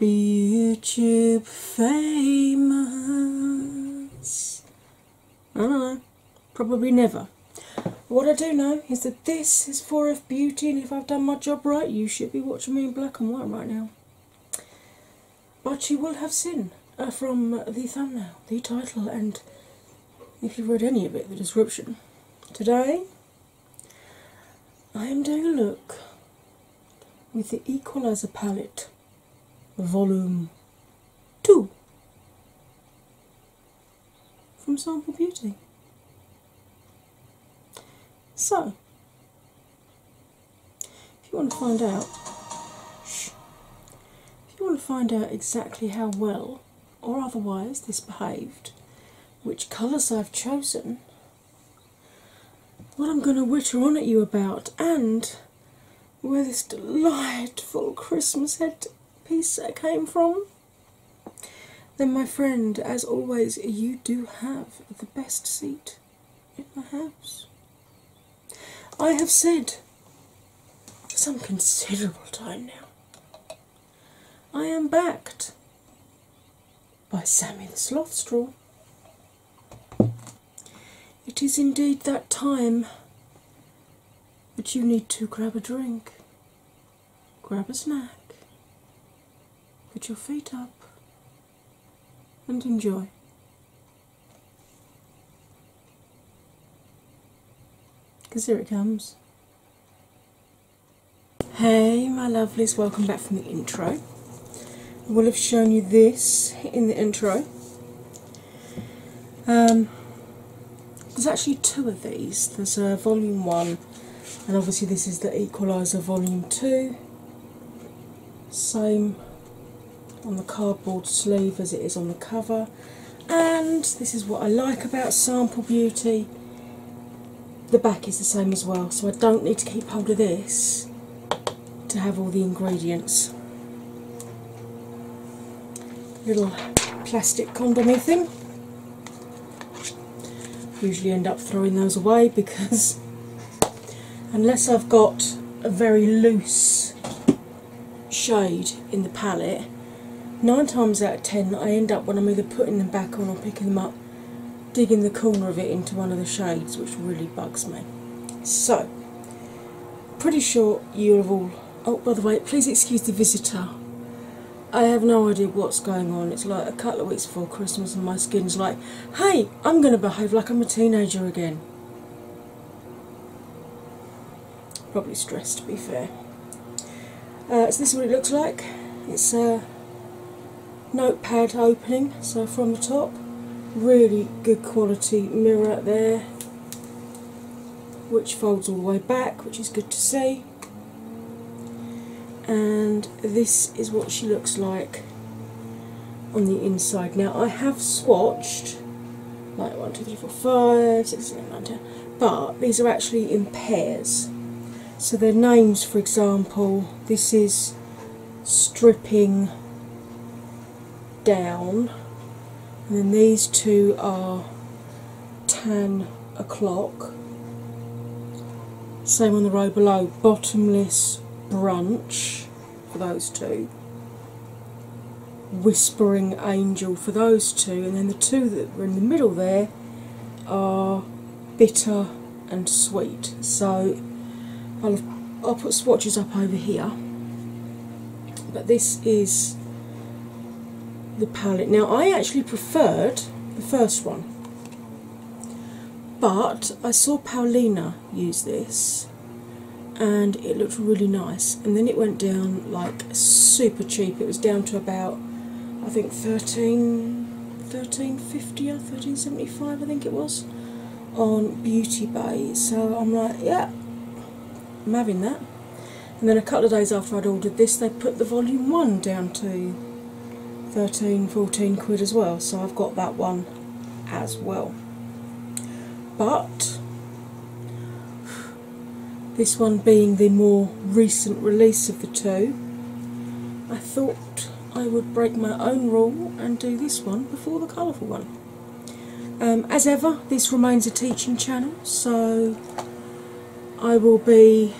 YouTube famous. I don't know, probably never. What I do know is that this is for f Beauty, and if I've done my job right, you should be watching me in black and white right now. But you will have seen uh, from the thumbnail, the title, and if you've read any of it, the description. Today, I am doing a look with the Equalizer palette Volume 2 from Sample Beauty. So, if you want to find out, if you want to find out exactly how well or otherwise this behaved, which colours I've chosen, what I'm going to witter on at you about, and where this delightful Christmas headpiece came from, then, my friend, as always, you do have the best seat in the house. I have said some considerable time now, I am backed by Sammy the it is indeed that time, but you need to grab a drink, grab a snack, put your feet up, and enjoy. Because here it comes. Hey, my lovelies, welcome back from the intro we will have shown you this in the intro. Um, there's actually two of these. There's a volume one, and obviously this is the equalizer volume two. Same on the cardboard sleeve as it is on the cover. And this is what I like about Sample Beauty. The back is the same as well, so I don't need to keep hold of this to have all the ingredients. Little plastic condom thing. Usually end up throwing those away because unless I've got a very loose shade in the palette, nine times out of ten I end up when I'm either putting them back on or picking them up, digging the corner of it into one of the shades, which really bugs me. So Pretty sure you have all. Oh, by the way, please excuse the visitor. I have no idea what's going on. It's like a couple of weeks before Christmas, and my skin's like, hey, I'm going to behave like I'm a teenager again. Probably stressed, to be fair. Uh, so, this is what it looks like. It's a notepad open so from the top, really good quality mirror there, which folds all the way back, which is good to see. And this is what she looks like on the inside. Now I have swatched like 1, 2, 3, 4, 5, 6, 7, 9, 10, but these are actually in pairs. So their names, for example, this is stripping down, and then these two are ten o'clock. Same on the row below, bottomless brunch for those two, whispering angel for those two, and then the two that are in the middle there are bitter and sweet. So I'll, put swatches up over here. But this is the palette. Now, I actually preferred the first one, but I saw Paulina use this and it looked really nice. And then it went down like super cheap. It was down to about, I think, 13. 1350 or 1375 I think it was on Beauty Bay. So I'm like, yeah, I'm having that. And then a couple of days after I'd ordered this, they put the volume one down to 13, 14 quid as well. So I've got that one as well. But this one being the more recent release of the two, I thought I would break my own rule and do this one before the colourful one. Um, as ever, this remains a teaching channel, so I will be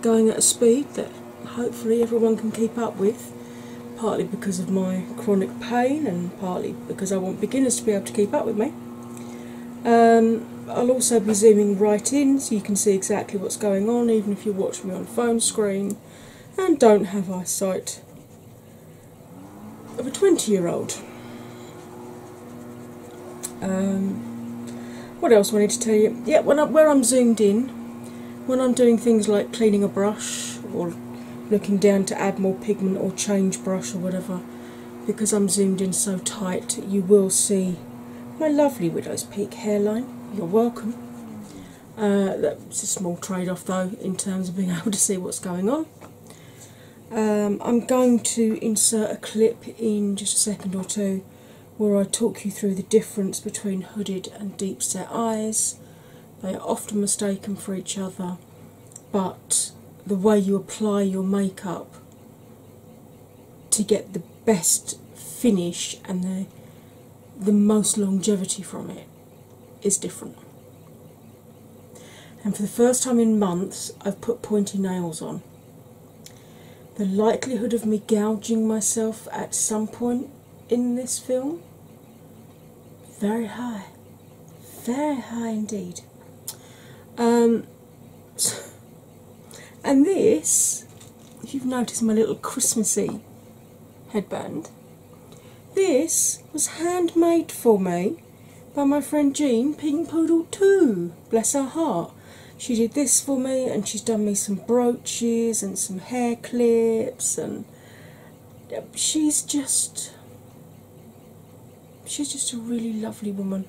going at a speed that hopefully everyone can keep up with, partly because of my chronic pain and partly because I want beginners to be able to keep up with me. Um, I'll also be zooming right in so you can see exactly what's going on, even if you watch me on phone screen and don't have eyesight of a 20 year old. Um, what else I need to tell you? Yeah, when where I'm zoomed in, when I'm doing things like cleaning a brush or looking down to add more pigment or change brush or whatever, because I'm zoomed in so tight, you will see my lovely Widow's Peak hairline. You're welcome. Uh, it's a small trade off though in terms of being able to see what's going on. Um, I'm going to insert a clip in just a second or two where I talk you through the difference between hooded and deep set eyes. They are often mistaken for each other, but the way you apply your makeup to get the best finish and the the most longevity from it is different. And for the first time in months, I've put pointy nails on. The likelihood of me gouging myself at some point in this film very high, very high indeed. Um, and this, if you've noticed my little Christmassy headband, this was handmade for me by my friend Jean Pink Poodle too. Bless her heart. She did this for me and she's done me some brooches and some hair clips and she's just she's just a really lovely woman.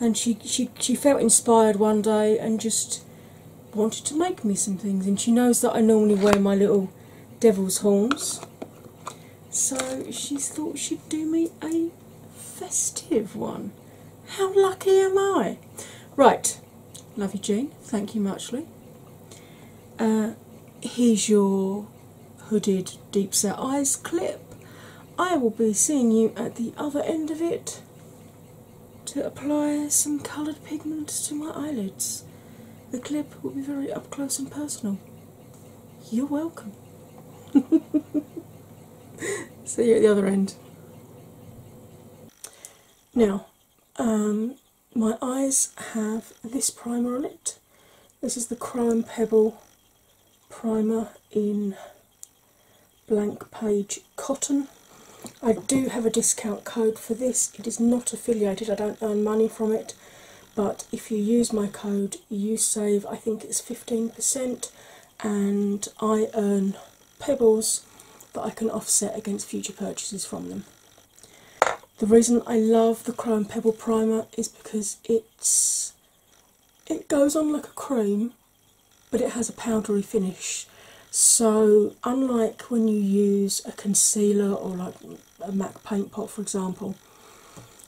And she she she felt inspired one day and just wanted to make me some things and she knows that I normally wear my little devil's horns so she thought she'd do me a festive one. How lucky am I? Right, love you, Jean. Thank you muchly. Uh, here's your hooded deep set eyes clip. I will be seeing you at the other end of it to apply some coloured pigment to my eyelids. The clip will be very up close and personal. You're welcome. See you at the other end. Now, um, my eyes have this primer on it. This is the Crime Pebble primer in blank page cotton. I do have a discount code for this. It is not affiliated, I don't earn money from it, but if you use my code you save i think it's 15% and i earn pebbles that i can offset against future purchases from them the reason i love the chrome pebble primer is because it's it goes on like a cream but it has a powdery finish so unlike when you use a concealer or like a MAC paint pot, for example,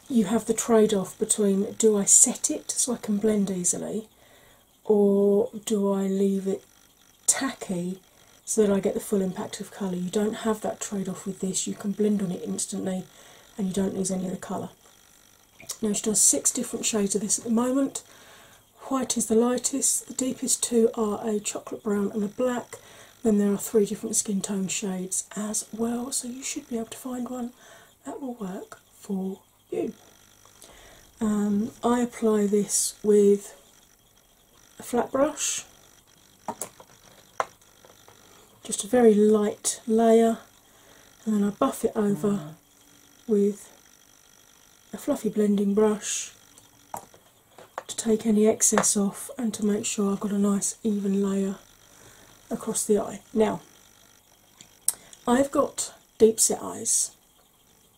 you have the trade off between do I set it so I can blend easily, or do I leave it tacky so that I get the full impact of colour. You don't have that trade off with this, you can blend on it instantly and you don't lose any of the colour. Now she does six different shades of this at the moment. White is the lightest, the deepest two are a chocolate brown and a black, then there are three different skin tone shades as well, so you should be able to find one that will work for you. Um, I apply this with a flat brush, just a very light layer, and then I buff it over mm. with a fluffy blending brush to take any excess off and to make sure I've got a nice even layer across the eye. Now, I've got deep set eyes,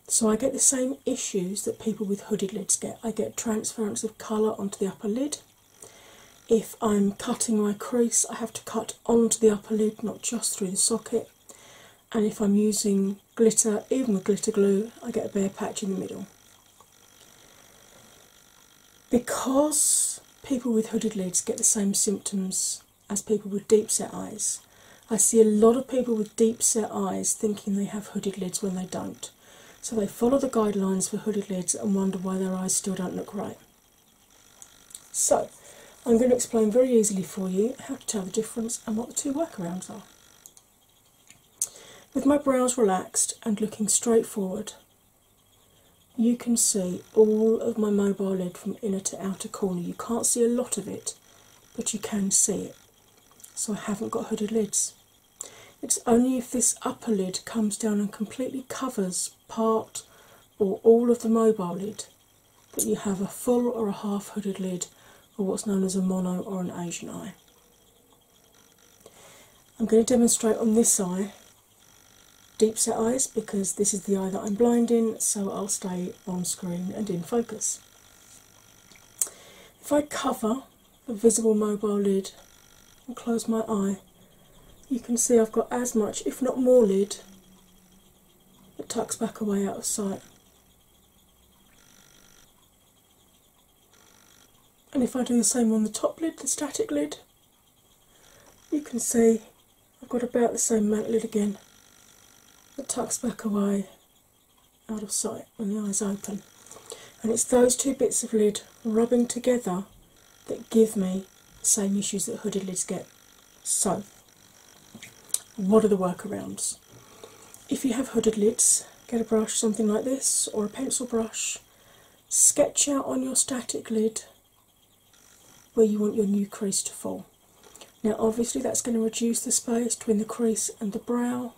so I get the same issues that people with hooded lids get. I get transference of colour onto the upper lid. If I'm cutting my crease, I have to cut onto the upper lid, not just through the socket. And if I'm using glitter, even with glitter glue, I get a bare patch in the middle. Because people with hooded lids get the same symptoms as people with deep set eyes, I see a lot of people with deep set eyes thinking they have hooded lids when they don't. So they follow the guidelines for hooded lids and wonder why their eyes still don't look right. So, I'm going to explain very easily for you how to tell the difference and what the two workarounds are. With my brows relaxed and looking straight forward, you can see all of my mobile lid from inner to outer corner. You can't see a lot of it, but you can see it. So I haven't got hooded lids. It's only if this upper lid comes down and completely covers part or all of the mobile lid that you have a full or a half hooded lid or what's known as a mono or an Asian eye. I'm going to demonstrate on this eye deep set eyes because this is the eye that I'm blind in, so I'll stay on screen and in focus. If I cover the visible mobile lid and close my eye, you can see I've got as much, if not more, lid that tucks back away out of sight. And if I do the same on the top lid, the static lid, you can see I've got about the same matte lid again that tucks back away out of sight when the eyes open. And it's those two bits of lid rubbing together that give me the same issues that hooded lids get. So, what are the workarounds? If you have hooded lids, get a brush, something like this, or a pencil brush, sketch out on your static lid where you want your new crease to fall. Now, obviously, that's going to reduce the space between the crease and the brow,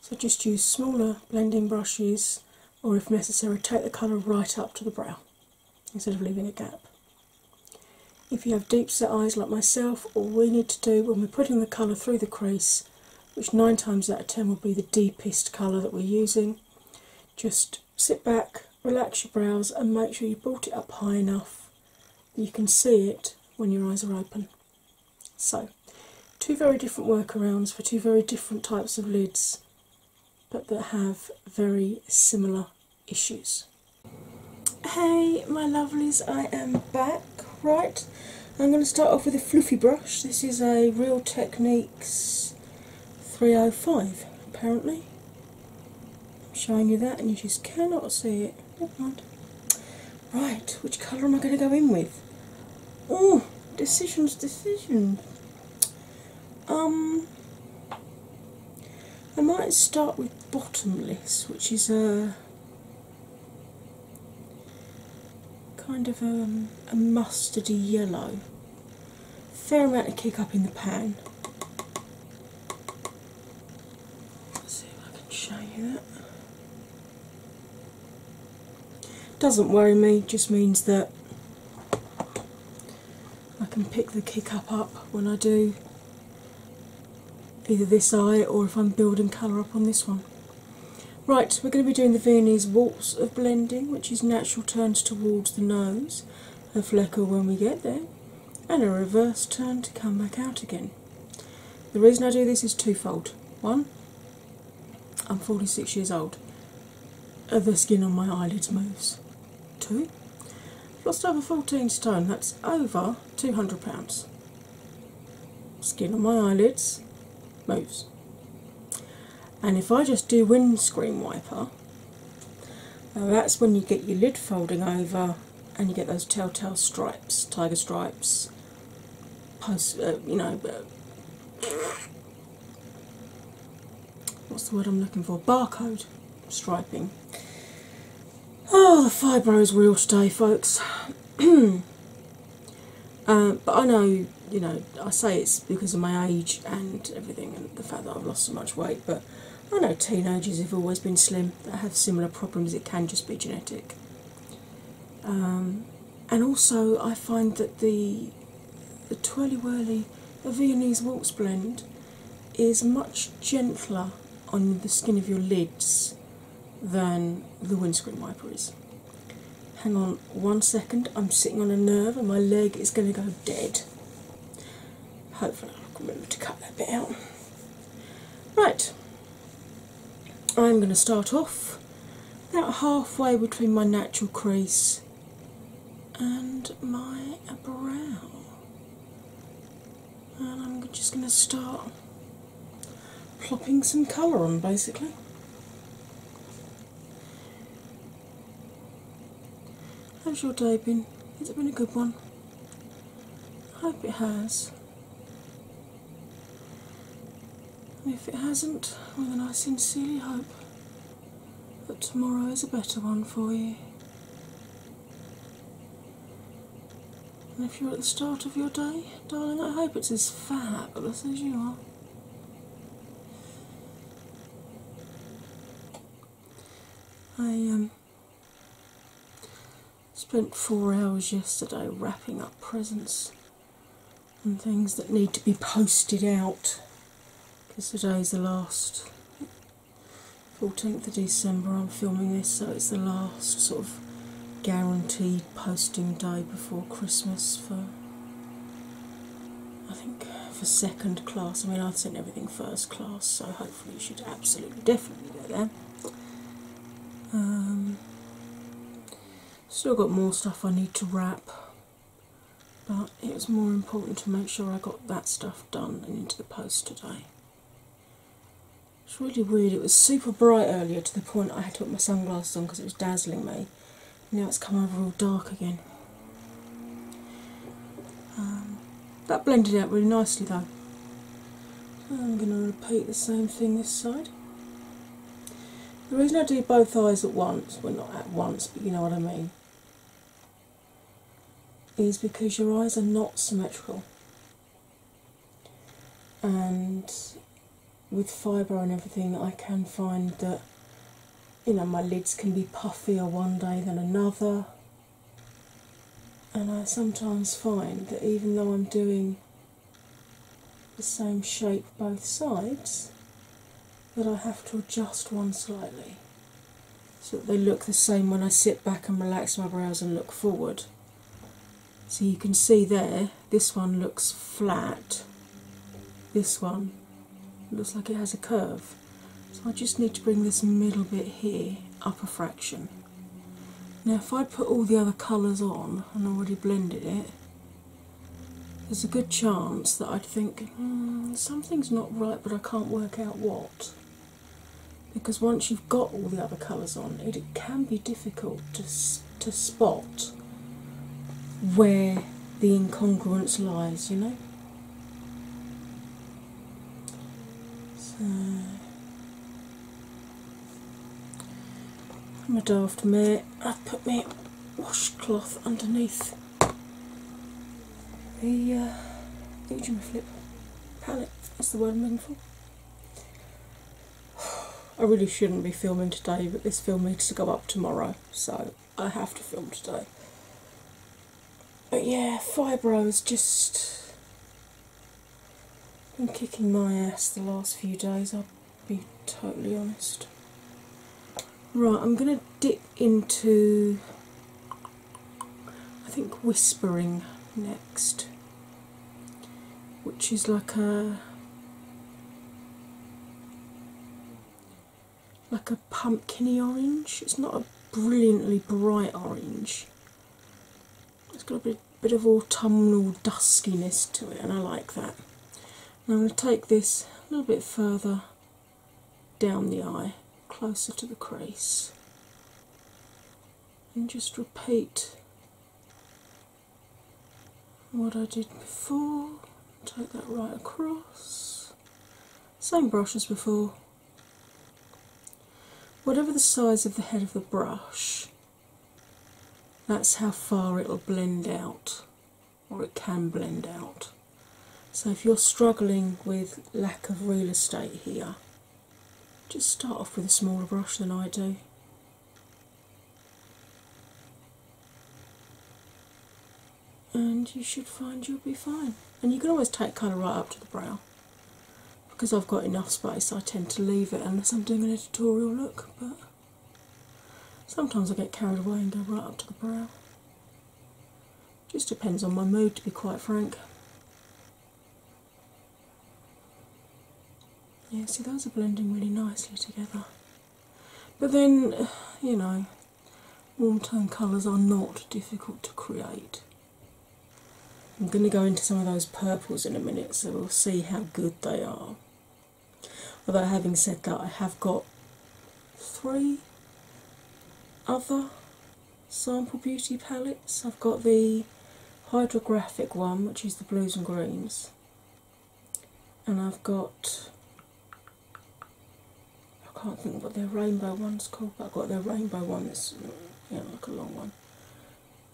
so just use smaller blending brushes, or if necessary, take the colour right up to the brow instead of leaving a gap. If you have deep set eyes like myself, all we need to do when we're putting the colour through the crease, which nine times out of ten will be the deepest colour that we're using, just sit back, relax your brows, and make sure you bolt it up high enough that you can see it when your eyes are open. So, two very different workarounds for two very different types of lids, but that have very similar issues. Hey, my lovelies, I am back. Right, I'm going to start off with a fluffy brush. This is a Real Techniques 305 apparently. I'm showing you that and you just cannot see it. Right, which colour am I going to go in with? Oh, decisions, decisions. Um, I might start with bottomless, which is a kind of um, a mustardy yellow fair amount of kick up in the pan. see if I can show you that. Doesn't worry me, just means that I can pick the kick up up when I do either this eye or if I'm building colour up on this one. Right, we're going to be doing the Viennese Waltz of Blending, which is natural turns towards the nose, a flecker when we get there, and a reverse turn to come back out again. The reason I do this is twofold. One, I'm 46 years old, the skin on my eyelids moves. Two, I've lost over 14 stone, that's over 200 pounds. Skin on my eyelids moves and if I just do windscreen wiper, that's when you get your lid folding over and you get those telltale stripes, tiger stripes, post, uh, you know, uh, what's the word I'm looking for? Barcode striping. Oh, the fibro is real today, folks. Uh, but I know you know, I say it's because of my age and everything, and the fact that I've lost so much weight, but I know teenagers have always been slim that have similar problems, it can just be genetic. Um, and also, I find that the the twirly whirly, the Viennese waltz blend, is much gentler on the skin of your lids than the windscreen wipers. Hang on one second, I'm sitting on a nerve and my leg is going to go dead. Hopefully, I can remember to cut that bit out. Right, I'm going to start off about halfway between my natural crease and my brow. And I'm just going to start plopping some colour on basically. How's your day been? Has it been a good one? I hope it has. if it hasn't, well then I sincerely hope that tomorrow is a better one for you. And if you're at the start of your day, darling, I hope it's as fabulous as you are. I um, spent four hours yesterday wrapping up presents and things that need to be posted out because today's the last 14th of December. I'm filming this, so it's the last sort of guaranteed posting day before Christmas for I think for second class, I mean, I've sent everything first class, so hopefully, you should absolutely definitely go there. Um, still got more stuff I need to wrap, but it was more important to make sure I got that stuff done and into the post today. It's really weird, it was super bright earlier to the point I had to put my sunglasses on because it was dazzling me now it's come over all dark again. Um, that blended out really nicely though. I'm going to repeat the same thing this side. The reason I do both eyes at once, well not at once, but you know what I mean, is because your eyes are not symmetrical. And with fibre and everything, I can find that you know, my lids can be puffier one day than another. And I sometimes find that even though I'm doing the same shape both sides, that I have to adjust one slightly so that they look the same when I sit back and relax my brows and look forward. So you can see there, this one looks flat, this one looks like it has a curve. So I just need to bring this middle bit here up a fraction. Now, if I put all the other colours on and already blended it, there's a good chance that I'd think hmm, something's not right, but I can't work out what. Because once you've got all the other colours on, it, it can be difficult to, to spot where the incongruence lies, you know. So I'm a daft mare. I've put my washcloth underneath the uh, flip palette. That's the word I'm looking for. I really shouldn't be filming today, but this film needs to go up tomorrow, so I have to film today. But yeah, fibro has just been kicking my ass the last few days, I'll be totally honest. Right, I'm going to dip into, I think, Whispering next, which is like a like a pumpkiny orange. It's not a brilliantly bright orange. It's got a bit, bit of autumnal duskiness to it, and I like that. I'm going to take this a little bit further down the eye, closer to the crease, and just repeat what I did before. Take that right across. Same brush as before. Whatever the size of the head of the brush, that's how far it'll blend out, or it can blend out. So if you're struggling with lack of real estate here, just start off with a smaller brush than I do and you should find you'll be fine. And you can always take colour right up to the brow. Because I've got enough space, I tend to leave it unless I'm doing an editorial look, but sometimes I get carried away and go right up to the brow. Just depends on my mood, to be quite frank. Yeah, see, those are blending really nicely together. But then, you know, warm tone colours are not difficult to create. I'm going to go into some of those purples in a minute so we'll see how good they are. Although, having said that, I have got three other sample beauty palettes. I've got the Hydrographic one, which is the blues and greens, and I've got I can't think what their rainbow one's called, I've got their rainbow one that's yeah, like a long one.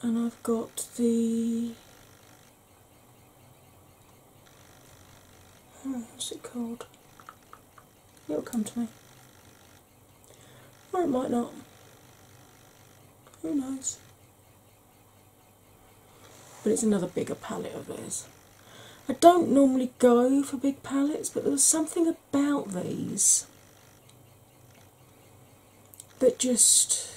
And I've got the oh, what's it called? It'll come to me. Or it might not. Who knows? But it's another bigger palette of theirs. I don't normally go for big palettes, but there was something about these that just,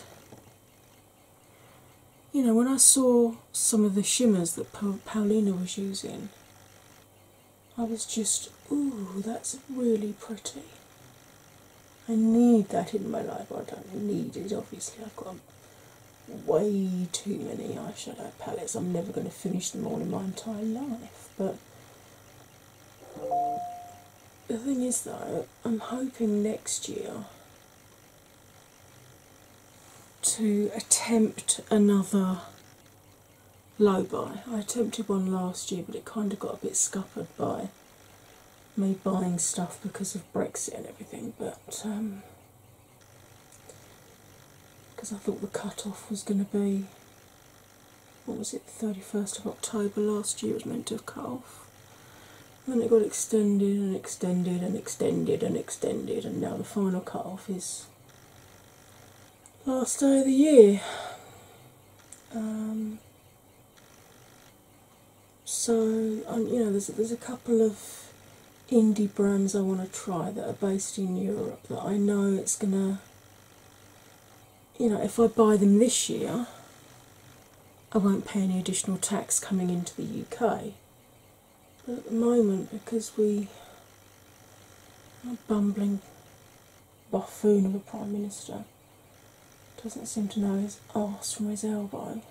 you know, when I saw some of the shimmers that Paulina was using, I was just, ooh, that's really pretty. I need that in my life. I don't need it, obviously. I've got way too many eyeshadow palettes. I'm never going to finish them all in my entire life. But the thing is, though, I'm hoping next year to attempt another low buy. I attempted one last year, but it kind of got a bit scuppered by me buying stuff because of Brexit and everything. But um, because I thought the cut off was going to be what was it, 31st of October last year, it was meant to have cut off. then it got extended and extended and extended and extended, and now the final cut off is last day of the year. Um, so um, you know, there's there's a couple of indie brands I want to try that are based in Europe that I know it's gonna you know if I buy them this year I won't pay any additional tax coming into the UK. at the moment because we a bumbling buffoon of a Prime Minister doesn't seem to know his arse from his elbow.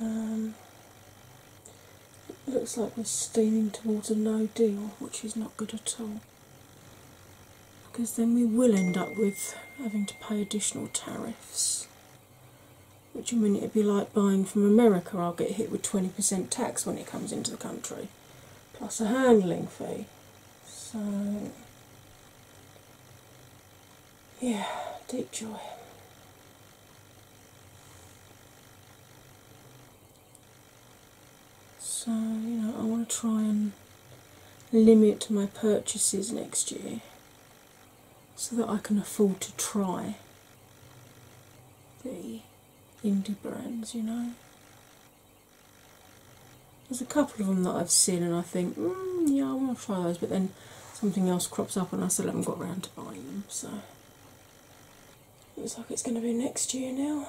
Um, it looks like we're steaming towards a no deal, which is not good at all. Because then we will end up with having to pay additional tariffs. Which I mean, it'd be like buying from America, I'll get hit with 20% tax when it comes into the country, plus a handling fee. So yeah, deep joy. So, you know, I want to try and limit my purchases next year so that I can afford to try the indie brands, you know. There's a couple of them that I've seen and I think, mm, yeah, I want to try those, but then something else crops up and I still haven't got round to buying them. So looks like it's going to be next year now.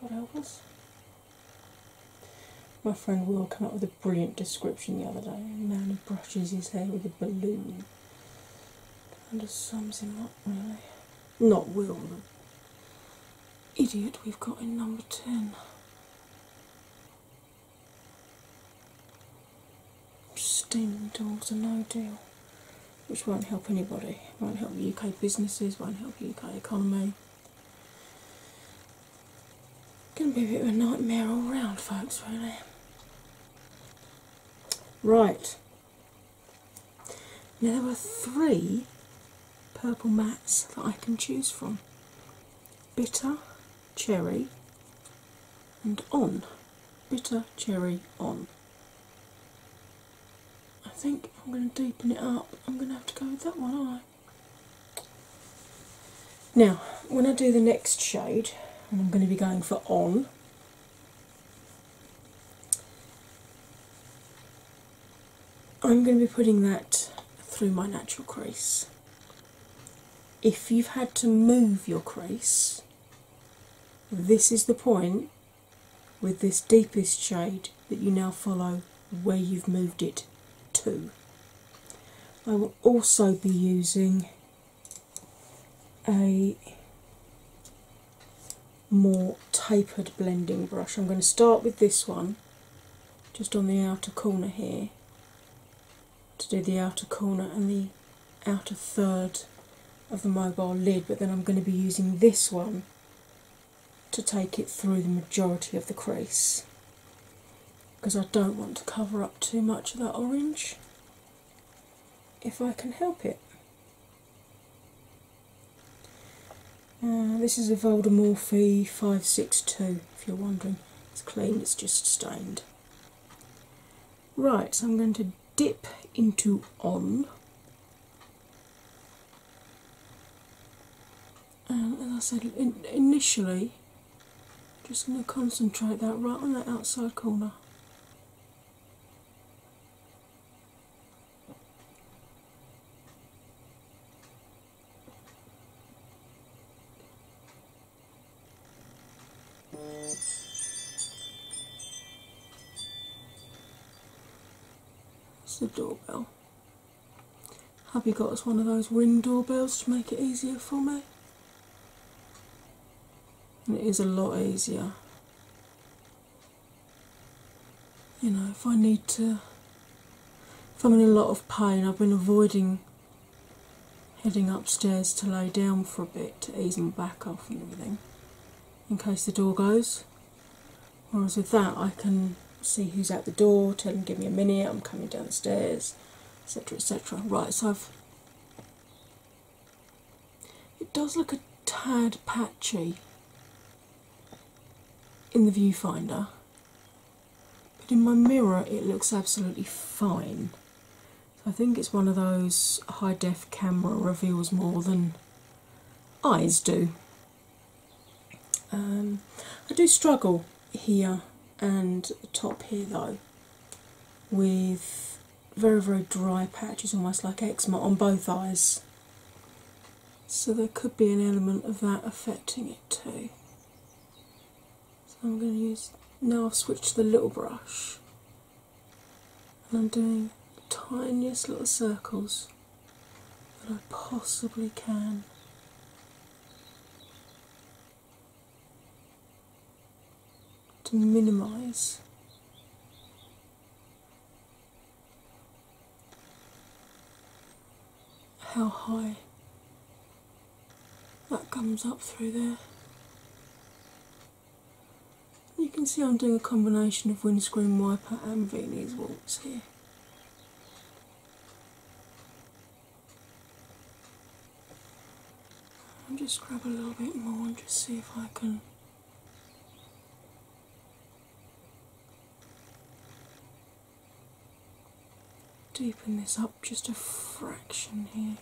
God help us. My friend Will came up with a brilliant description the other day. A man who brushes his hair with a balloon. And of sums him up, really. Not Will, the idiot we've got in number 10 steaming dogs are no deal, which won't help anybody. Won't help UK businesses. Won't help UK economy. Going to be a bit of a nightmare all round, folks. Really. Right. Now there are three purple mats that I can choose from: bitter, cherry, and on bitter cherry on. I think I'm going to deepen it up. I'm going to have to go with that one, I like. Now, when I do the next shade, I'm going to be going for on, I'm going to be putting that through my natural crease. If you've had to move your crease this is the point with this deepest shade that you now follow where you've moved it to. I will also be using a more tapered blending brush. I'm going to start with this one just on the outer corner here to do the outer corner and the outer third of the mobile lid, but then I'm going to be using this one to take it through the majority of the crease because I don't want to cover up too much of that orange if I can help it. Uh, this is a Voldemorphe 562 if you're wondering. It's clean, it's just stained. Right, so I'm going to dip into on. And as I said in, initially, just going to concentrate that right on that outside corner. It's the doorbell. Have you got us one of those ring doorbells to make it easier for me? And it is a lot easier. You know, if I need to, if I'm in a lot of pain, I've been avoiding heading upstairs to lay down for a bit to ease my back off and everything in case the door goes. Whereas with that, I can see who's at the door, tell them, give me a minute, I'm coming downstairs, etc. etc. Right, so I've it does look a tad patchy in the viewfinder, but in my mirror it looks absolutely fine. I think it's one of those high def camera reveals more than eyes do. Um, I do struggle here and top here though with very very dry patches, almost like eczema on both eyes. So there could be an element of that affecting it too. So I'm going to use now. I've switched to the little brush and I'm doing tiniest little circles that I possibly can. To minimize how high that comes up through there. You can see I'm doing a combination of windscreen wiper and Viennese waltz here. I'll just grab a little bit more and just see if I can deepen this up just a fraction here.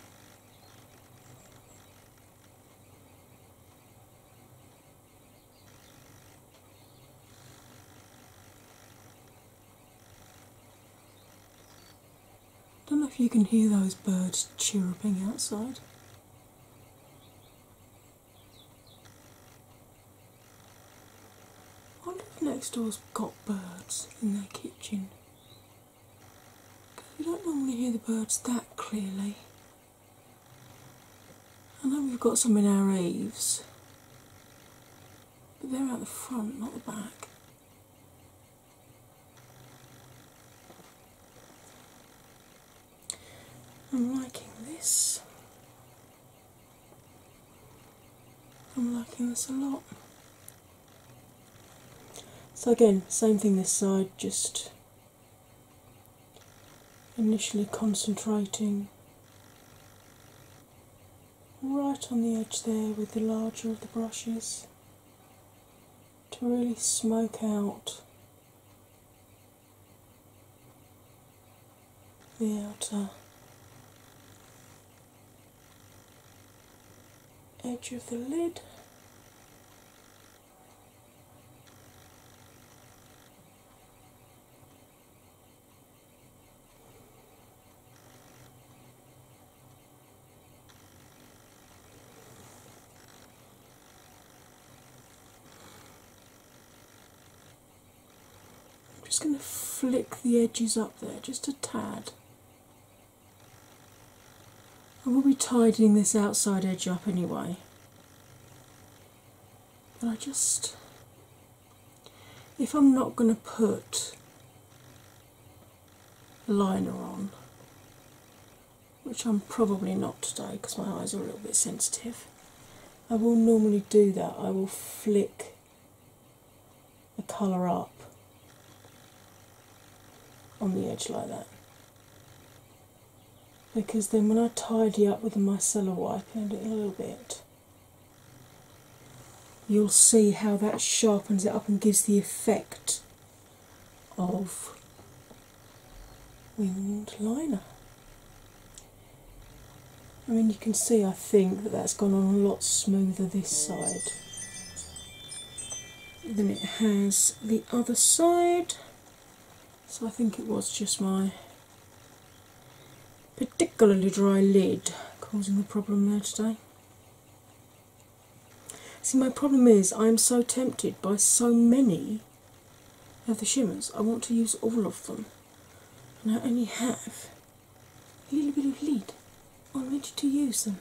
I don't know if you can hear those birds chirruping outside. I wonder if next door's got birds in their kitchen. We don't normally hear the birds that clearly. I know we've got some in our eaves, but they're out the front, not the back. I'm liking this. I'm liking this a lot. So, again, same thing this side, just Initially concentrating right on the edge there with the larger of the brushes to really smoke out the outer edge of the lid. I'm just going to flick the edges up there just a tad. I will be tidying this outside edge up anyway. But I just, if I'm not going to put liner on, which I'm probably not today because my eyes are a little bit sensitive, I will normally do that. I will flick the colour up on the edge like that because then when I tidy up with the micellar wipe in a little bit, you'll see how that sharpens it up and gives the effect of winged liner. I mean, you can see, I think, that that's gone on a lot smoother this side than it has the other side. So I think it was just my particularly dry lid causing the problem there today. See, my problem is I am so tempted by so many of the shimmers. I want to use all of them, and I only have a little bit of lid on which to use them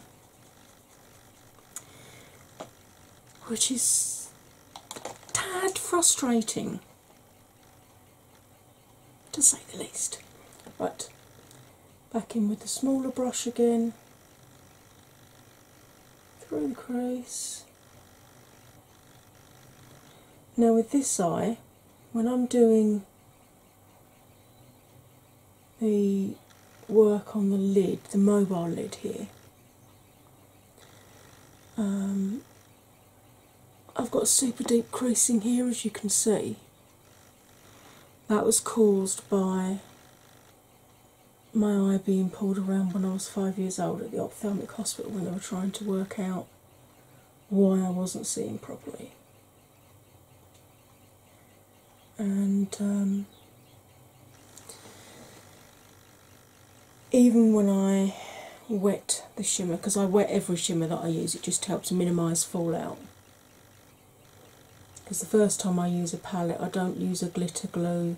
which is tad frustrating to say the least. But back in with the smaller brush again, through the crease. Now, with this eye, when I'm doing the work on the lid, the mobile lid here, um, I've got super deep creasing here, as you can see. That was caused by my eye being pulled around when I was five years old at the ophthalmic hospital when they were trying to work out why I wasn't seeing properly. And um, even when I wet the shimmer, because I wet every shimmer that I use, it just helps minimise fallout. Because the first time I use a palette, I don't use a glitter glue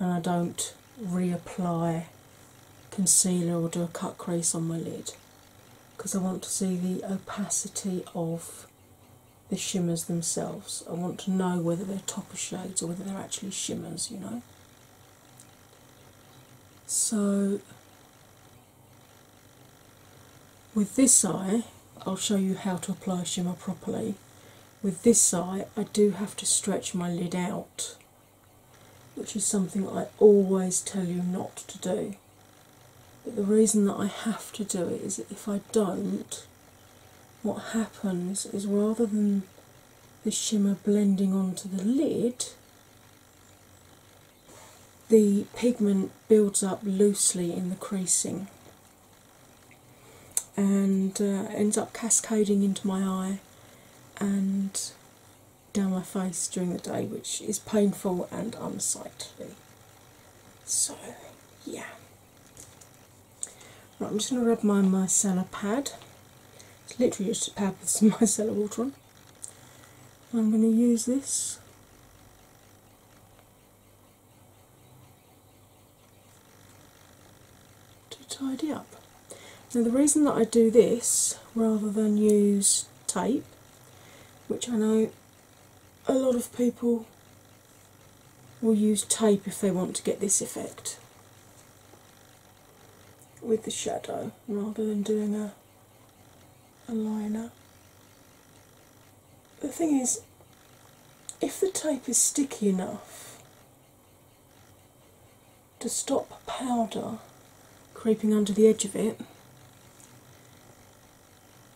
and I don't reapply concealer or do a cut crease on my lid because I want to see the opacity of the shimmers themselves. I want to know whether they're topper shades or whether they're actually shimmers, you know. So, with this eye, I'll show you how to apply shimmer properly. With this eye, I do have to stretch my lid out, which is something I always tell you not to do. But the reason that I have to do it is that if I don't, what happens is rather than the shimmer blending onto the lid, the pigment builds up loosely in the creasing and uh, ends up cascading into my eye and down my face during the day, which is painful and unsightly. So, yeah. Right, I'm just going to rub my micellar pad. It's literally just a pad with some micellar water on. I'm going to use this to tidy up. Now, the reason that I do this rather than use tape, which I know a lot of people will use tape if they want to get this effect with the shadow rather than doing a, a liner. The thing is, if the tape is sticky enough to stop powder creeping under the edge of it,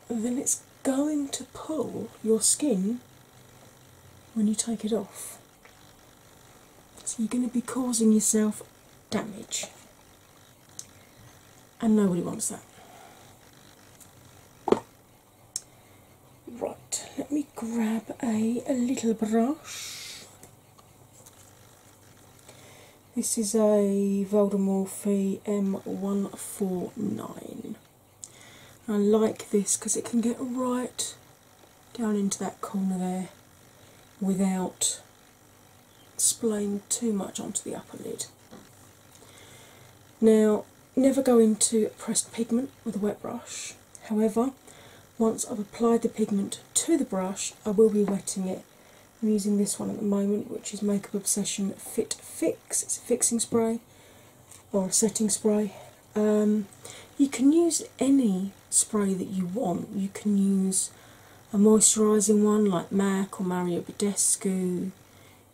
then it's going to pull your skin when you take it off. So you're going to be causing yourself damage. And nobody wants that. Right, let me grab a, little brush. This is a Voldemorph M149. I like this because it can get right down into that corner there without splaining too much onto the upper lid. Now, never go into pressed pigment with a wet brush. However, once I've applied the pigment to the brush, I will be wetting it. I'm using this one at the moment, which is Makeup Obsession Fit Fix. It's a fixing spray or a setting spray, um, you can use any spray that you want. You can use a moisturising one like MAC or Mario Badescu.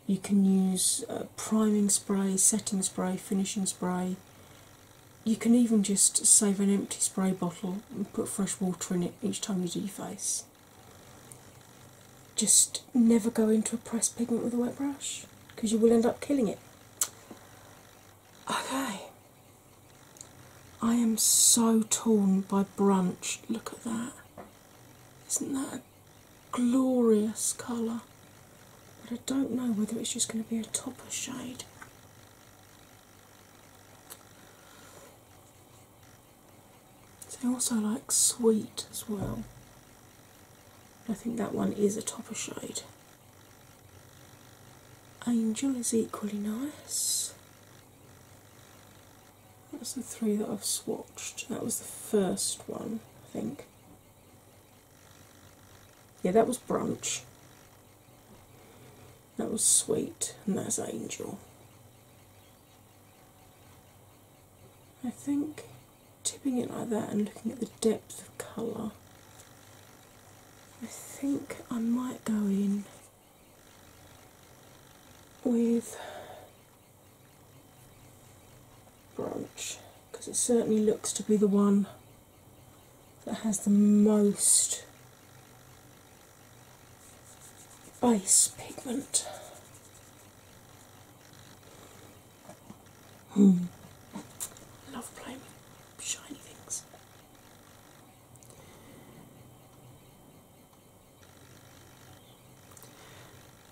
You can use uh, priming spray, setting spray, finishing spray. You can even just save an empty spray bottle and put fresh water in it each time you do your face. Just never go into a pressed pigment with a wet brush because you will end up killing it. Okay. I am so torn by brunch. Look at that. Isn't that a glorious colour? But I don't know whether it's just going to be a topper shade. They also like sweet as well. I think that one is a topper shade. Angel is equally nice. That's the three that I've swatched. That was the first one, I think. Yeah, that was Brunch. That was Sweet, and that's Angel. I think tipping it like that and looking at the depth of colour, I think I might go in with branch because it certainly looks to be the one that has the most base pigment. Hmm. love playing shiny things.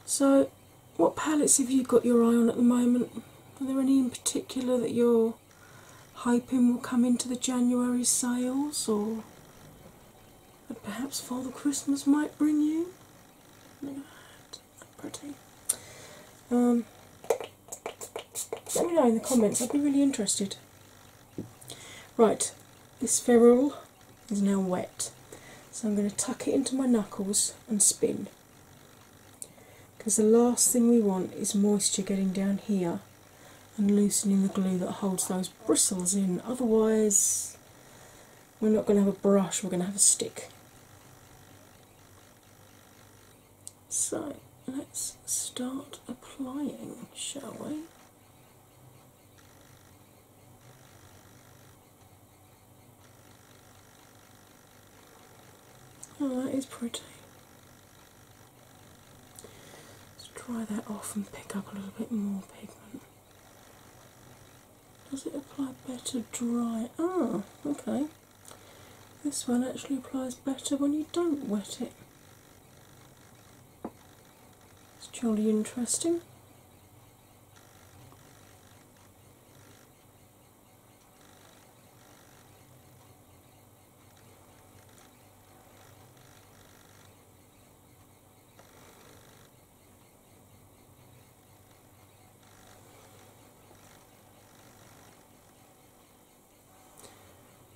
So, what palettes have you got your eye on at the moment? Are there any in particular that you're hoping will come into the January sales or that perhaps Father Christmas might bring you? are um, let me know in the comments, I'd be really interested. Right, this ferrule is now wet, so I'm going to tuck it into my knuckles and spin. Because the last thing we want is moisture getting down here and loosening the glue that holds those bristles in, otherwise, we're not going to have a brush, we're going to have a stick. So let's start applying, shall we? Oh, that is pretty. Let's dry that off and pick up a little bit more pigment. Does it apply better dry? Oh, okay. This one actually applies better when you don't wet it. It's jolly interesting.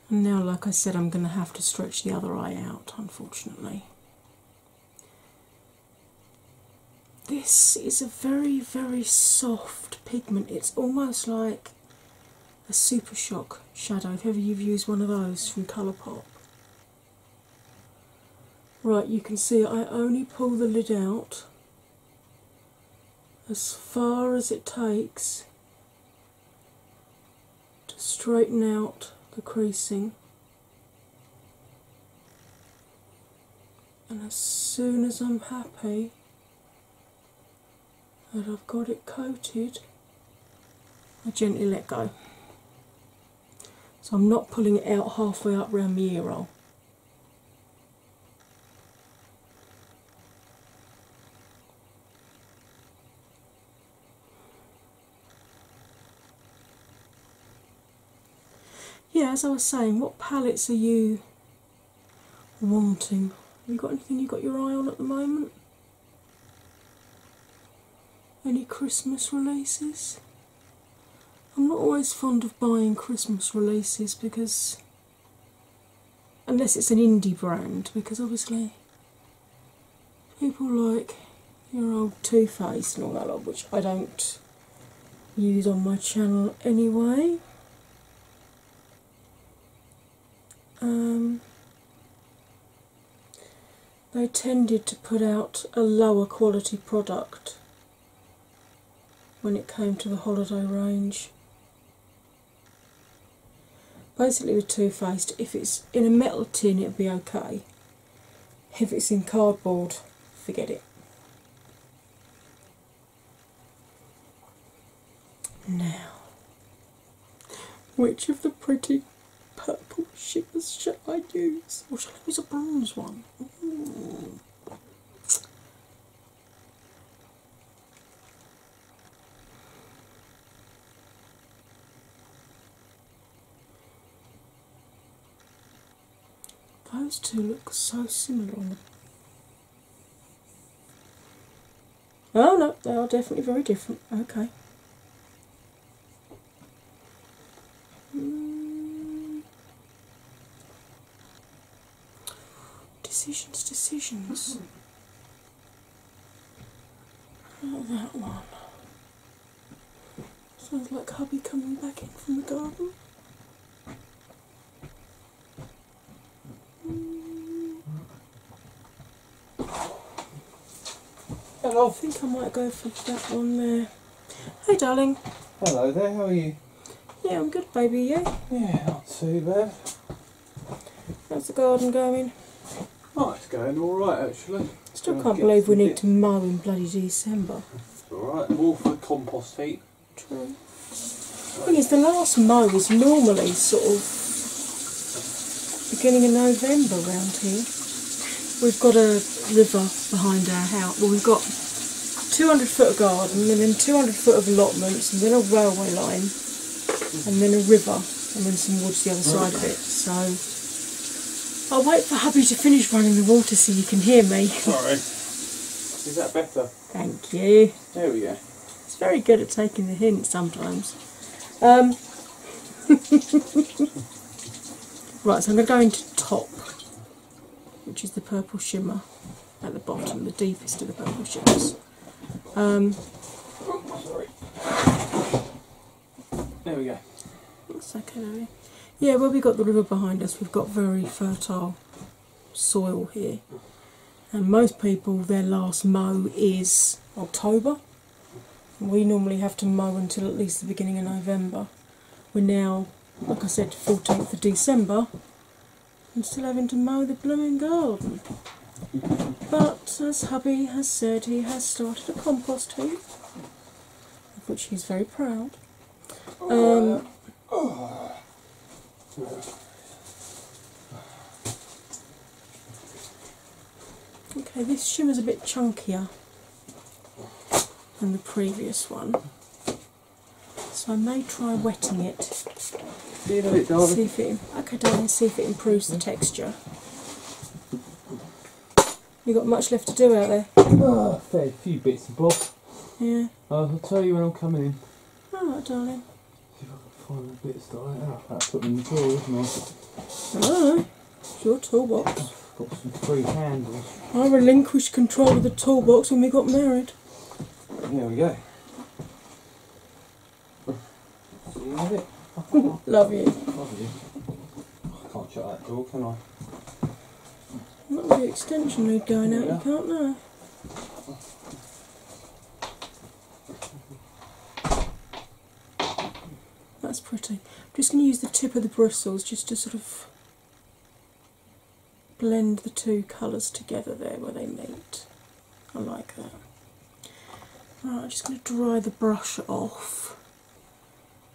And now, like I said, I'm going to have to stretch the other eye out, unfortunately. This is a very, very soft pigment. It's almost like a Super Shock shadow, if you've used one of those from Colourpop. Right, you can see I only pull the lid out as far as it takes to straighten out the creasing. And as soon as I'm happy that I've got it coated, I gently let go. So I'm not pulling it out halfway up round the ear roll yeah, as I was saying, what palettes are you wanting? Have you got anything you got your eye on at the moment? Any Christmas releases? I'm not always fond of buying Christmas releases because unless it's an indie brand, because obviously people like your old Too Faced and all that lot, which I don't use on my channel anyway. Um, they tended to put out a lower quality product when it came to the holiday range Basically, with 2 Faced, if it's in a metal tin, it'll be okay. If it's in cardboard, forget it. Now, which of the pretty purple shippers shall I use? Or shall I use a bronze one? Those two look so similar Oh no, they are definitely very different. Okay. Decisions, decisions. that one. Sounds like hubby coming back in from the garden. And I think I might go for that one there. Hey, darling. Hello there, how are you? Yeah, I'm good, baby. Yeah. Yeah, not too bad. How's the garden going? Oh, it's going all right actually. Still can't believe we need to mow in bloody December. Alright, all for compost heap. True. The thing is, the last mow is normally sort of beginning in November round here. We've got a river behind our house. Well, we've got 200 foot garden and then 200 foot of allotments and then a railway line and then a river and then some woods the other oh, side of it. So I'll wait for hubby to finish running the water so you can hear me. Sorry. Is that better? Thank you. There we go. It's very good at taking the hint sometimes. Um, right, so I'm going to go into top, which is the purple shimmer at the bottom, the deepest of the purple shimmers. Um, there we go. That's okay, Yeah, well, we've got the river behind us, we've got very fertile soil here. And most people, their last mow is October. We normally have to mow until at least the beginning of November. We're now, like I said, 14th of December, I'm still having to mow the blooming garden. But as hubby has said, he has started a compost heap, which he's very proud. Um, okay, this shimmer's a bit chunkier than the previous one. So I may try wetting it. See, if it darling. See if it improves the texture. You got much left to do out there. Ah, a few bits of bobs. Yeah. I'll tell you when I'm coming in. All right, darling. See if I can find the bits that I ah, put in the drawer, wasn't I? No, your toolbox. got some free handles. I relinquished control of the toolbox when we got married. There we go. Love it. Love you. Love you. I can't shut that door, can I? Not the extension lead going out, you can't now. That's pretty. I'm just going to use the tip of the bristles just to sort of blend the two colours together there where they meet. I like that. I'm just going to dry the brush off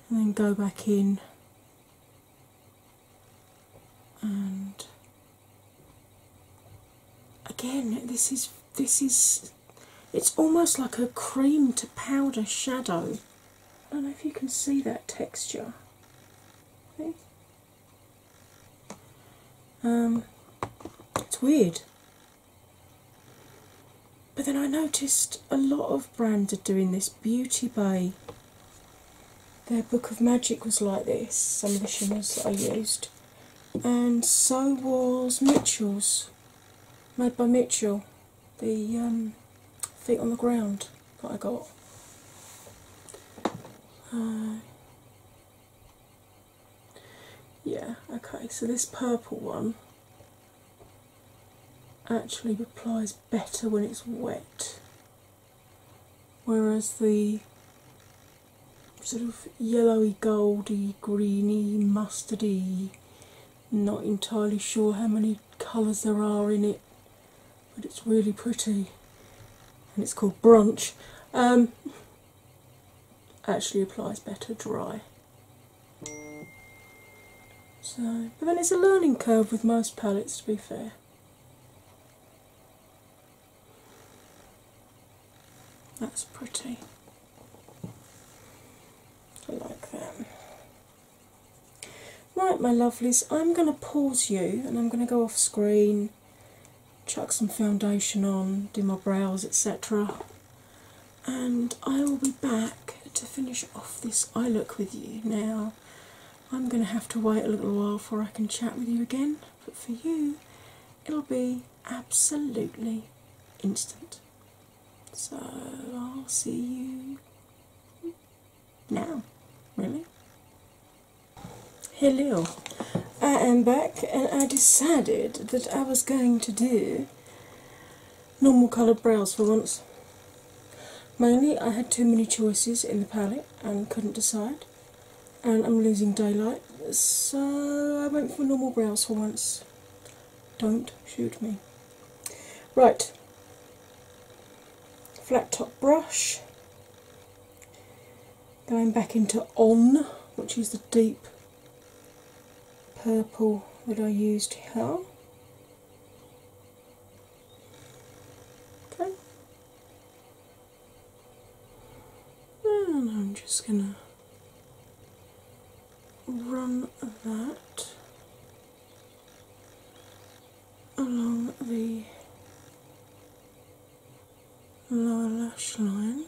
and then go back in and again this is this is it's almost like a cream to powder shadow. I don't know if you can see that texture. Um, it's weird. But then I noticed a lot of brands are doing this. Beauty Bay, their Book of Magic was like this, some of the shimmers that I used. And so was Mitchell's, made by Mitchell, the um, feet on the ground that I got. Uh, yeah, okay, so this purple one actually applies better when it's wet, whereas the sort of yellowy, goldy, greeny, mustardy, not entirely sure how many colours there are in it, but it's really pretty and it's called Brunch. Um, actually applies better dry. So, but then it's a learning curve with most palettes, to be fair. That's pretty. I like that. Right, my lovelies, I'm going to pause you and I'm going to go off screen chuck some foundation on, do my brows, etc. And I will be back to finish off this eye look with you. Now, I'm going to have to wait a little while before I can chat with you again, but for you, it'll be absolutely instant. So, I'll see you now, really. Hello, I am back and I decided that I was going to do normal coloured brows for once. Mainly, I had too many choices in the palette and couldn't decide, and I'm losing daylight, so I went for normal brows for once. Don't shoot me. Right, flat top brush. Going back into On, which is the deep purple that I used here. Okay. And I'm just going to run that along the lower lash line.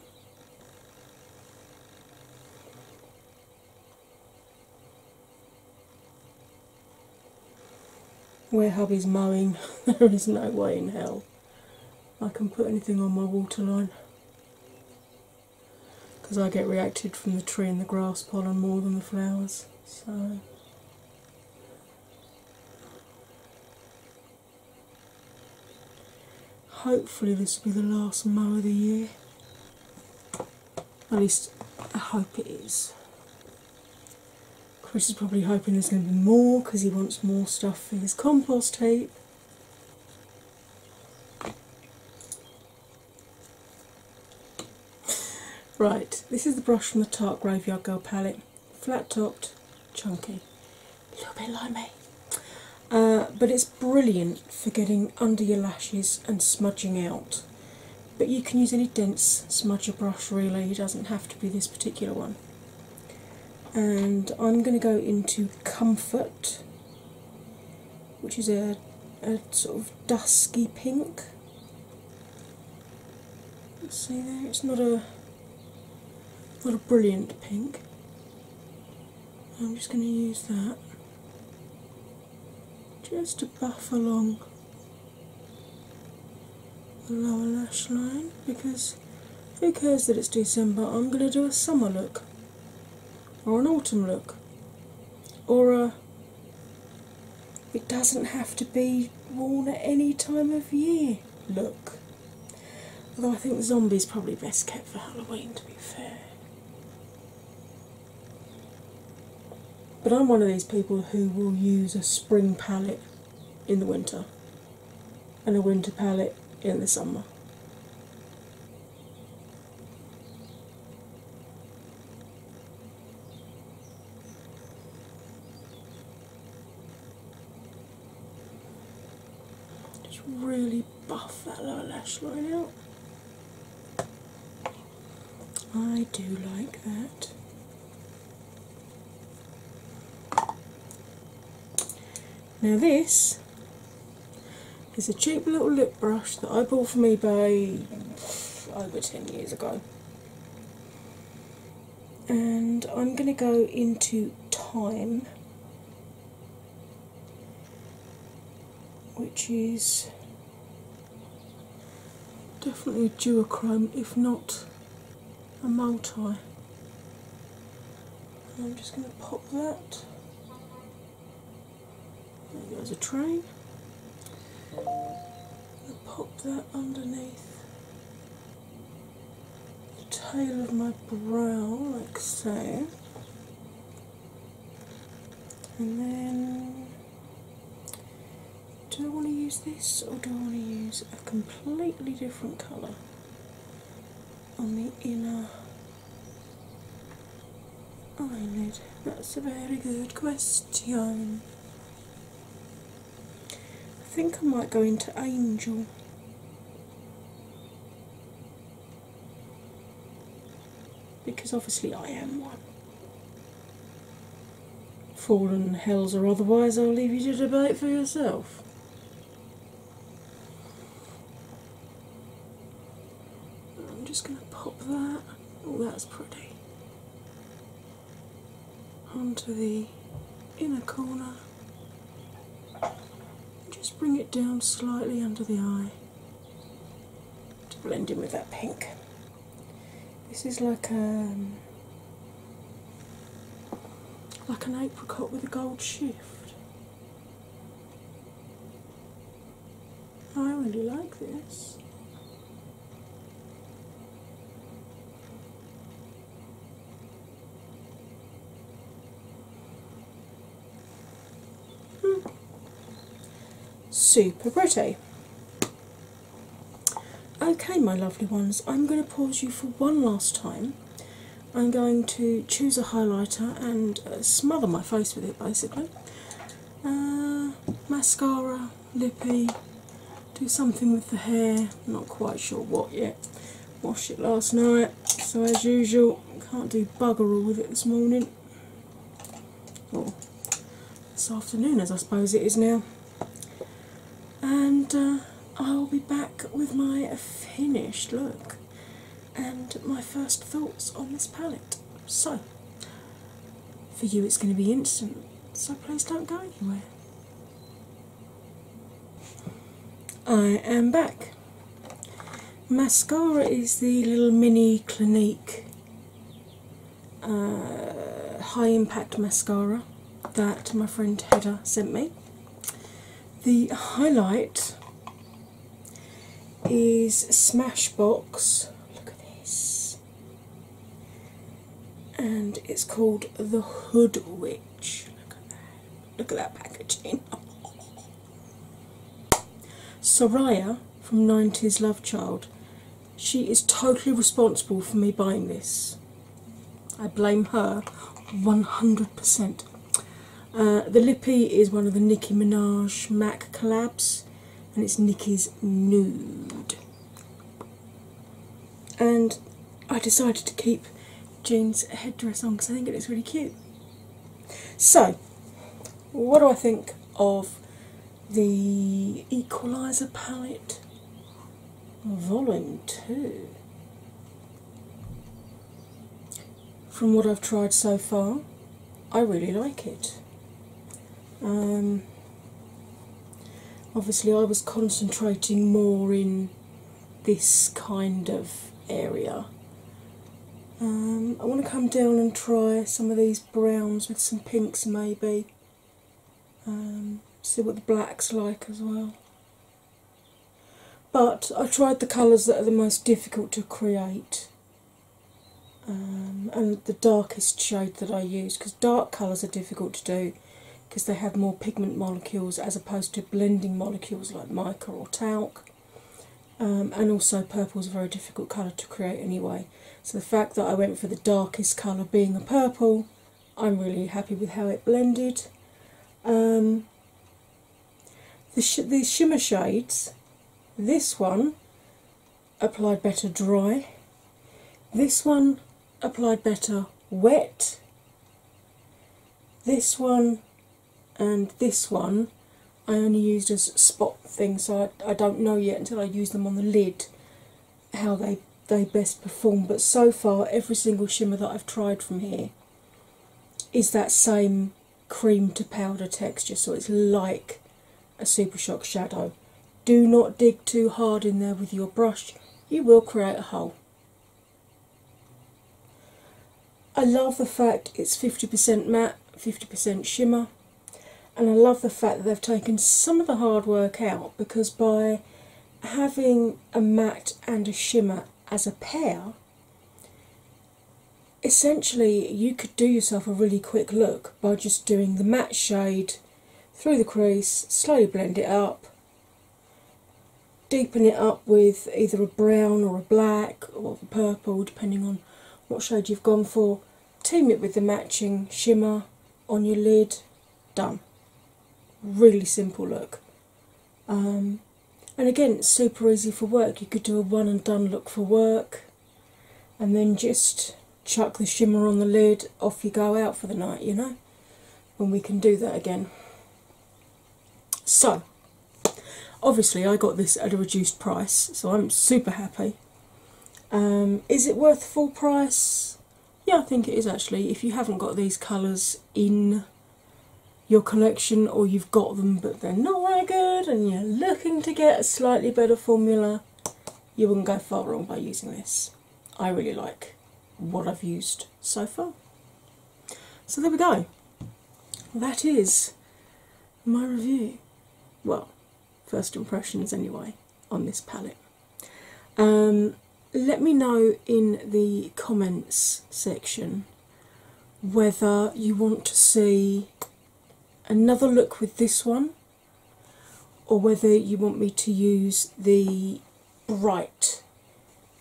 Where hubby's mowing, there is no way in hell I can put anything on my waterline because I get reacted from the tree and the grass pollen more than the flowers. So Hopefully, this will be the last mow of the year. At least, I hope it is. Chris is probably hoping there's going to be more because he wants more stuff for his compost tape. Right, this is the brush from the Tart Graveyard Girl palette flat topped, chunky, a little bit like me. Uh, but it's brilliant for getting under your lashes and smudging out. But you can use any dense smudger brush really, it doesn't have to be this particular one. And I'm going to go into Comfort, which is a, sort of dusky pink. see there, it's not a not a brilliant pink. I'm just going to use that just to buff along the lower lash line because who cares that it's December? I'm going to do a summer look or an autumn look or a it doesn't have to be worn at any time of year look. Although I think zombie's probably best kept for Halloween, to be fair. But I'm one of these people who will use a spring palette in the winter and a winter palette in the summer. Just really buff that little lash line out. I do like that. Now this is a cheap little lip brush that I bought from eBay over 10 years ago. And I'm going to go into Time which is definitely a duochrome, if not a multi. I'm just going to pop that. There goes a train. I'll pop that underneath the tail of my brow, like so, and then do I want to use this or do I want to use a completely different colour on the inner eyelid? That's a very good question. I think I might go into Angel. Because obviously I am one. Fallen hells or otherwise, I'll leave you to debate for yourself. I'm just going to pop that, oh, that's pretty, onto the inner corner just bring it down slightly under the eye to blend in with that pink. This is like a um, like an apricot with a gold shift. I really like this. Super pretty. Okay, my lovely ones, I'm going to pause you for one last time. I'm going to choose a highlighter and uh, smother my face with it basically. Uh, mascara, lippy, do something with the hair, not quite sure what yet washed it last night, so as usual, can't do bugger all with it this morning. Or this afternoon, as I suppose it is now. And uh, I'll be back with my finished look and my first thoughts on this palette. So, for you, it's going to be instant, so please don't go anywhere. I am back. Mascara is the little mini Clinique uh, high impact mascara that my friend Hedda sent me. The highlight is Smashbox. Look at this. And it's called The Hood Witch. Look at that packaging. Soraya from 90s Love Child. She is totally responsible for me buying this. I blame her 100%. Uh, the Lippy is one of the Nicki Minaj MAC collabs and it's Nicki's Nude. And I decided to keep Jean's headdress on because I think it looks really cute. So, what do I think of the Equalizer palette Volume 2? From what I've tried so far, I really like it. Um, obviously, I was concentrating more in this kind of area. Um, I want to come down and try some of these browns with some pinks, maybe. Um, see what the black's like as well. But I tried the colours that are the most difficult to create um, and the darkest shade that I use because dark colours are difficult to do because they have more pigment molecules as opposed to blending molecules like mica or talc. Um, and also purple is a very difficult colour to create anyway. So the fact that I went for the darkest colour being a purple, I'm really happy with how it blended. Um, the shimmer shades, this one applied better dry, this one applied better wet, this one and this one I only used as spot things, so I, I don't know yet until I use them on the lid how they they best perform. But so far, every single shimmer that I've tried from here is that same cream to powder texture, so it's like a Super Shock shadow. Do not dig too hard in there with your brush, you will create a hole. I love the fact it's 50% matte, 50% shimmer, and I love the fact that they've taken some of the hard work out because by having a matte and a shimmer as a pair, essentially you could do yourself a really quick look by just doing the matte shade through the crease, slowly blend it up, deepen it up with either a brown or a black or a purple, depending on what shade you've gone for. Team it with the matching shimmer on your lid. Done. Really simple look. Um, and again, super easy for work. You could do a one and done look for work and then just chuck the shimmer on the lid, off you go out for the night, you know? and we can do that again. So, obviously, I got this at a reduced price, so I'm super happy. Um, is it worth full price? Yeah, I think it is actually. If you haven't got these colours in your collection, or you've got them but they're not very good, and you're looking to get a slightly better formula, you wouldn't go far wrong by using this. I really like what I've used so far. So there we go. That is my review. Well, first impressions anyway on this palette. Um, let me know in the comments section whether you want to see another look with this one or whether you want me to use the bright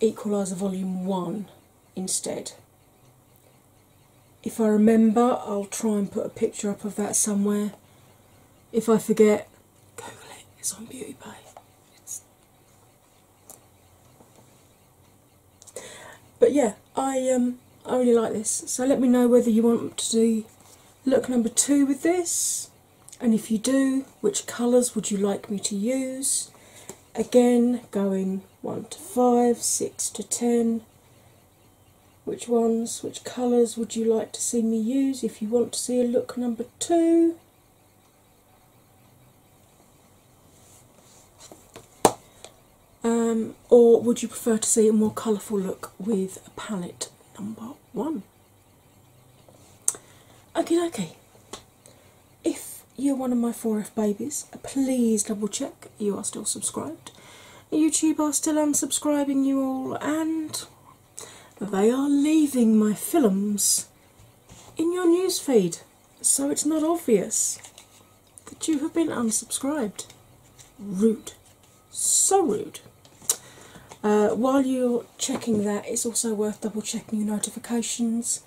equalizer volume 1 instead. If I remember, I'll try and put a picture up of that somewhere. If I forget, Google it, it's on Beauty Bay. But yeah, I um I really like this. So let me know whether you want to do look number two with this, and if you do, which colours would you like me to use? Again, going 1 to 5, 6 to 10. Which ones, which colours would you like to see me use if you want to see a look number 2? Um, or would you prefer to see a more colourful look with a palette number one? Okay, okay. If you're one of my 4F babies, please double check you are still subscribed. YouTube are still unsubscribing you all, and they are leaving my films in your newsfeed so it's not obvious that you have been unsubscribed. Rude. So rude. Uh, while you're checking that, it's also worth double checking your notifications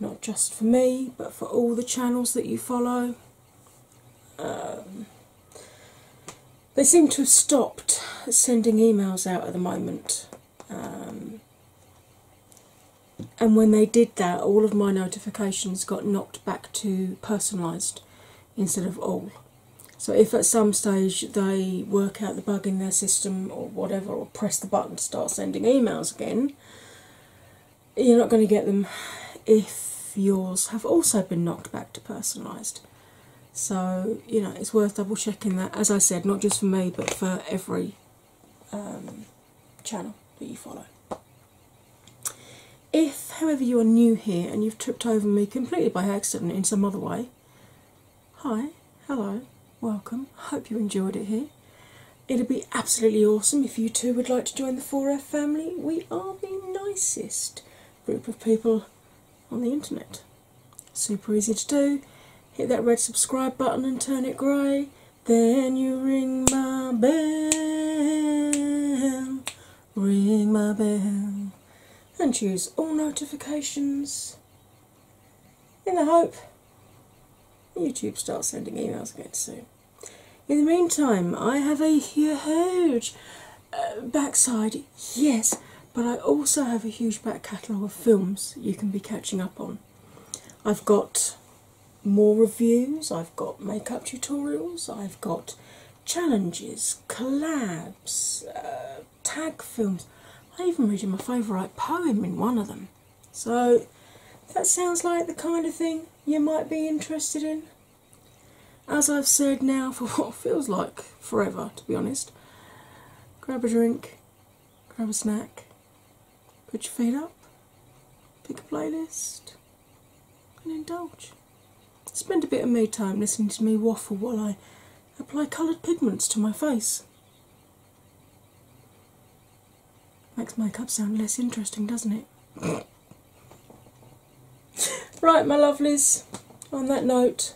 not just for me but for all the channels that you follow. Um, they seem to have stopped sending emails out at the moment. Um, and when they did that, all of my notifications got knocked back to personalised instead of all. So, if at some stage they work out the bug in their system or whatever, or press the button to start sending emails again, you're not going to get them if yours have also been knocked back to personalised. So, you know, it's worth double checking that, as I said, not just for me but for every um, channel that you follow. If, however, you are new here and you've tripped over me completely by accident in some other way, hi, hello, welcome, hope you enjoyed it here it will be absolutely awesome if you too would like to join the 4F family. We are the nicest group of people on the internet. Super easy to do. Hit that red subscribe button and turn it grey. Then you ring my bell, ring my bell, and choose all notifications in the hope YouTube starts sending emails again soon. In the meantime, I have a huge uh, backside, yes, but I also have a huge back catalogue of films you can be catching up on. I've got more reviews, I've got makeup tutorials, I've got challenges, collabs, uh, tag films. I even read you my favourite poem in one of them. So that sounds like the kind of thing you might be interested in. As I've said now for what feels like forever, to be honest, grab a drink, grab a snack, put your feet up, pick a playlist, and indulge. Spend a bit of me time listening to me waffle while I apply coloured pigments to my face. Makes my cup sound less interesting, doesn't it? right, my lovelies, on that note,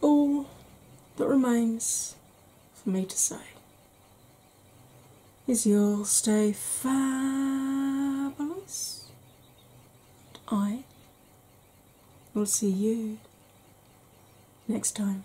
all that remains for me to say is you'll stay fabulous. I will see you next time.